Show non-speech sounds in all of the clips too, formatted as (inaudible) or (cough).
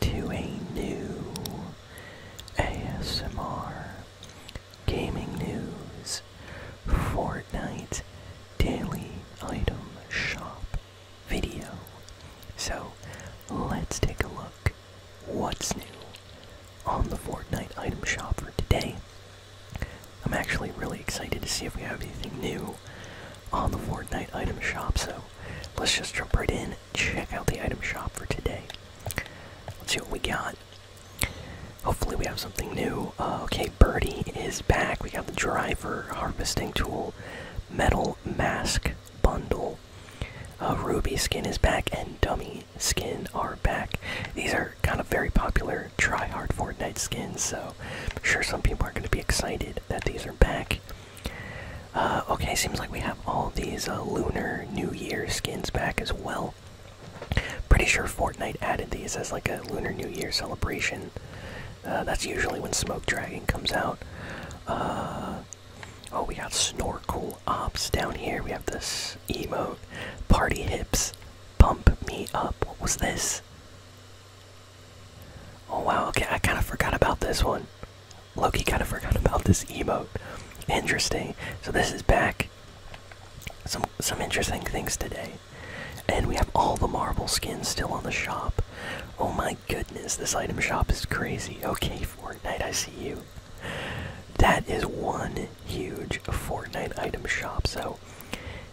to a new ASMR gaming news Fortnite daily item shop video. So let's take a look what's new on the Fortnite item shop for today. I'm actually really excited to see if we have anything new on the Fortnite item shop, so let's just jump right in check out the item shop for today. Let's see what we got. Hopefully, we have something new. Uh, okay, Birdie is back. We got the driver, harvesting tool, metal mask bundle. Uh, Ruby skin is back, and Dummy skin are back. These are kind of very popular try hard Fortnite skins, so I'm sure some people are going to be excited that these are back. Uh, okay, seems like we have all these uh, Lunar New Year skins back as well. Pretty sure Fortnite added these as like a Lunar New Year celebration. Uh, that's usually when Smoke Dragon comes out. oh, we got Snorkel Ops down here. We have this emote. Party Hips. Pump Me Up. What was this? Oh wow, okay, I kind of forgot about this one. Loki kind of forgot about this emote. Interesting. So this is back. Some some interesting things today. And we have all the marble skins still on the shop. Oh my goodness, this item shop is crazy. Okay, Fortnite, I see you. That is one huge Fortnite item shop. So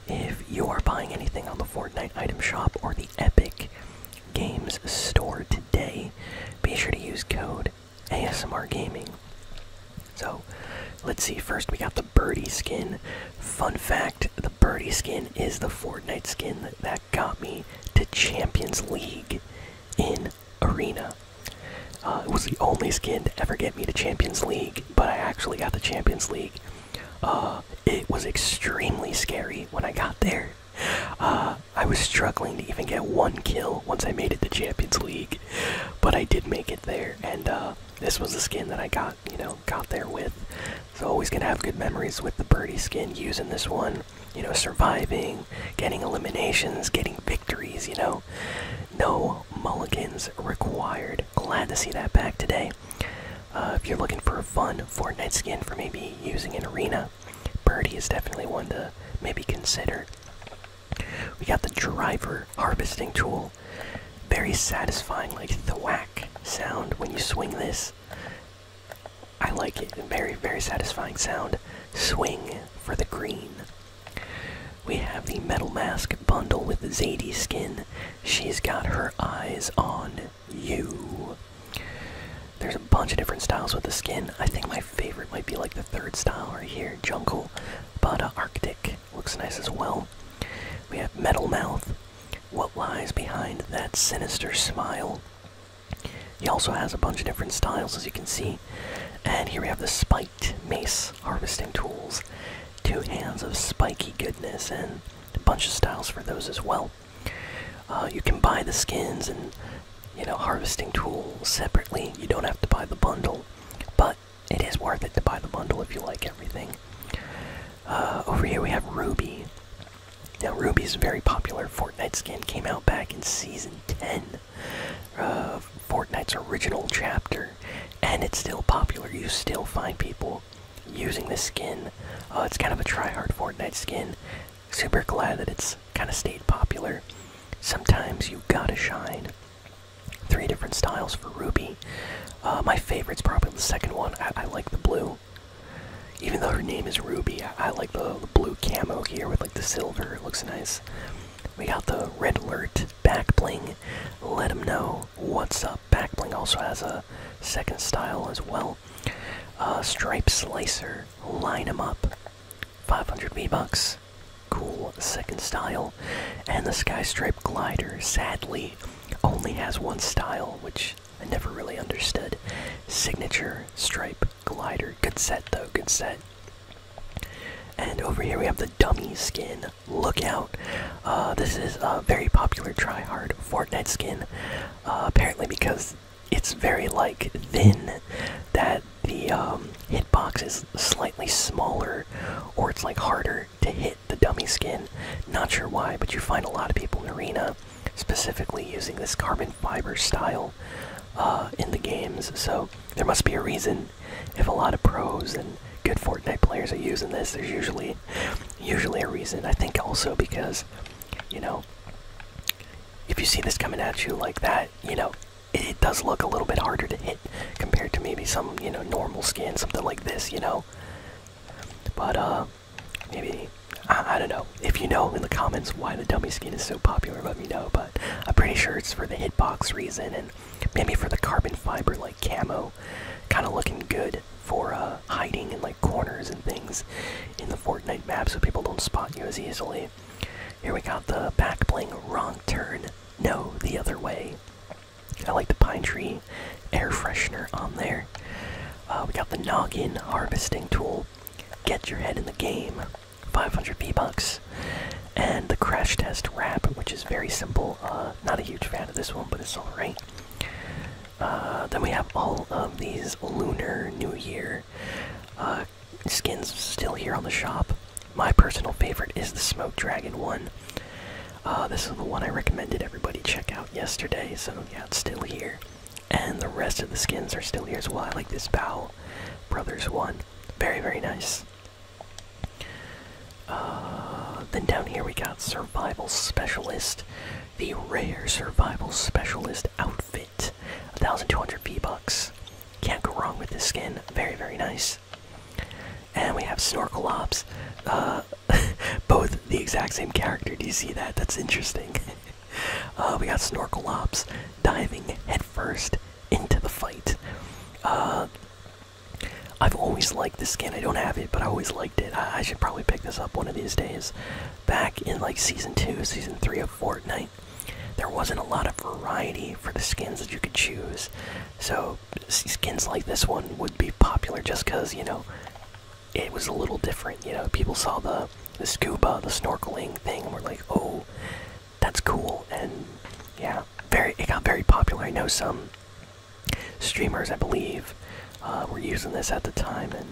if you are buying anything on the Fortnite item shop or the Epic Games store today. Be sure to use code ASMR Gaming. So, let's see. First, we got the birdie skin. Fun fact the birdie skin is the Fortnite skin that got me to Champions League in Arena. Uh, it was the only skin to ever get me to Champions League, but I actually got the Champions League. Uh, uh, it was extremely scary when I got there. Uh, I was struggling to even get one kill once I made it to Champions League, but I did make it there, and uh, this was the skin that I got, you know, got there with. So always gonna have good memories with the birdie skin using this one. You know, surviving, getting eliminations, getting victories. You know, no mulligans required. Glad to see that back today. Uh, if you're looking for a fun Fortnite skin for maybe using in arena, Birdie is definitely one to maybe consider. We got the driver harvesting tool. Very satisfying, like thwack sound when you swing this. I like it. Very, very satisfying sound. Swing for the green. We have the Metal Mask bundle with the Zadie skin. She's got her eyes on you. There's a bunch of different styles with the skin. I think my favorite might be like the third style right here, Jungle. But Arctic looks nice as well. We have Metal Mouth. What lies behind that sinister smile? He also has a bunch of different styles, as you can see. And here we have the spiked mace harvesting tools. Two hands of spiky goodness, and a bunch of styles for those as well. Uh, you can buy the skins and you know harvesting tools separately. You don't have to buy the bundle, but it is worth it to buy the bundle if you like everything. Uh, over here we have Ruby. Now Ruby is a very popular Fortnite skin. Came out back in season 10 of Fortnite's original chapter, and it's still popular. You still find people using this skin. Uh, it's kind of a try-hard Fortnite skin. Super glad that it's kind of stayed popular. Sometimes you gotta shine. Three different styles for Ruby. Uh, my favorite's probably the second one. I, like the blue. Even though her name is Ruby, I, like the blue camo here with like the silver. It looks nice. We got the red alert back bling. Let them know. What's Up. Backbling also has a second style as well. Uh, Stripe Slicer, Line 'em Up, 500 V-Bucks, cool second style. And the Sky Stripe Glider, sadly, only has one style, which I never really understood. Signature Stripe Glider, good set though, good set. And over here we have the dummy skin look out. Uh, this is a very popular try-hard Fortnite skin, uh, apparently because it's very like thin that the um, hitbox is slightly smaller or it's like harder to hit the dummy skin. Not sure why, but you find a lot of people in Arena specifically using this carbon fiber style uh, in the games, so there must be a reason if a lot of pros and good Fortnite players are using this, there's usually usually a reason. I think also because you know if you see this coming at you like that, you know it, does look a little bit harder to hit compared to maybe some you know normal skin, something like this, you know. But uh, maybe. I don't know. If you know in the comments why the dummy skin is so popular, let me know. But I'm pretty sure it's for the hitbox reason and Maybe for the carbon fiber like camo, kind of looking good for uh, hiding in like corners and things in the Fortnite map, so people don't spot you as easily. Here we got the back bling wrong turn. No, the other way. I like the pine tree air freshener on there. Uh, we got the noggin harvesting tool. Get your head in the game. 500 B bucks and the Crash Test Wrap, which is very simple. Uh, not a huge fan of this one, but it's alright. Uh, then we have all of these Lunar New Year uh, skins still here on the shop. My personal favorite is the Smoke Dragon one. this is the one I recommended everybody check out yesterday, so yeah, it's still here. And the rest of the skins are still here as well. I like this Bow Brothers one. Very, very nice. Uh, then down here we got Survival Specialist, the rare Survival Specialist outfit. 1200 V-Bucks. Can't go wrong with this skin. Very, very nice. And we have Snorkel Ops. Uh, (laughs) both the exact same character. Do you see that? That's interesting. (laughs) Uh, we got Snorkel Ops diving headfirst into the fight. Uh, I've always liked the skin. I don't have it, but I always liked it. I, should probably pick this up one of these days. Back in like season two, season three of Fortnite, there wasn't a lot of variety for the skins that you could choose. So skins like this one would be popular just because you know it was a little different. You know, people saw the the scuba, the snorkeling thing, and were like, oh, that's cool and yeah very it got very popular i know some streamers i believe uh, were using this at the time and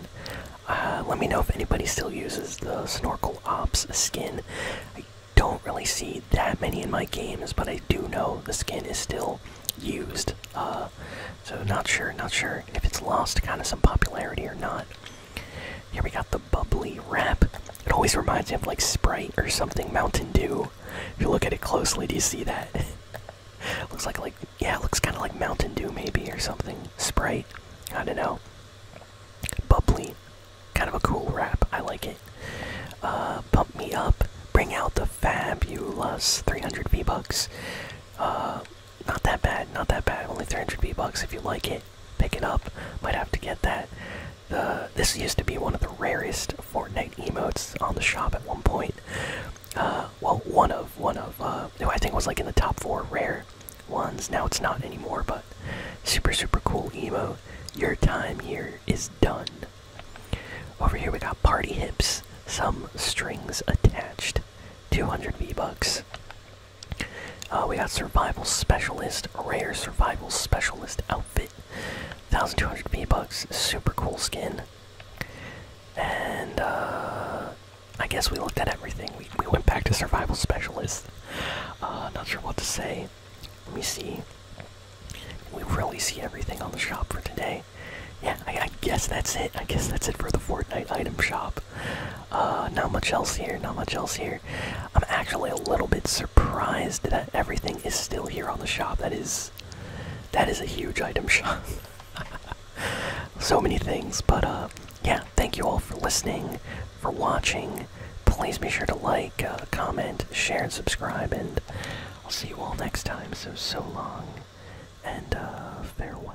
uh, let me know if anybody still uses the snorkel ops skin i don't really see that many in my games but i do know the skin is still used uh, so not sure not sure if it's lost kind of some popularity or not here we got the bubbly wrap. It always reminds me of like Sprite or something, Mountain Dew. If you look at it closely, do you see that? It (laughs) looks like like yeah, it looks kind of like Mountain Dew maybe or something. Sprite, I don't know. Bubbly, kind of a cool wrap. I like it. Uh, pump me up. Bring out the fabulous 300 V bucks. Uh, not that bad, not that bad. Only 300 V bucks if you like it pick it up. Might have to get that. The this used to be one of the rarest Fortnite emotes on the shop at one point. Uh, well, one of one of who uh, I think was like in the top four rare ones. Now it's not anymore, but super super cool emote. Your time here is done. Over here we got party hips, some strings attached, 200 V bucks. Uh, we got survival specialist, rare survival specialist outfit, 1200 V bucks, super cool skin. And uh, I guess we looked at everything. We, we went back to survival specialist. Uh, not sure what to say. Let me see. We really see everything on the shop for today. Yeah, I guess that's it. I guess that's it for the Fortnite item shop. Uh, not much else here, not much else here. I'm actually a little bit surprised that everything is still here on the shop. That is, that is a huge item shop. (laughs) so many things, but uh, yeah, thank you all for listening, for watching. Please be sure to like, uh, comment, share, and subscribe, and I'll see you all next time. So, so long, and farewell.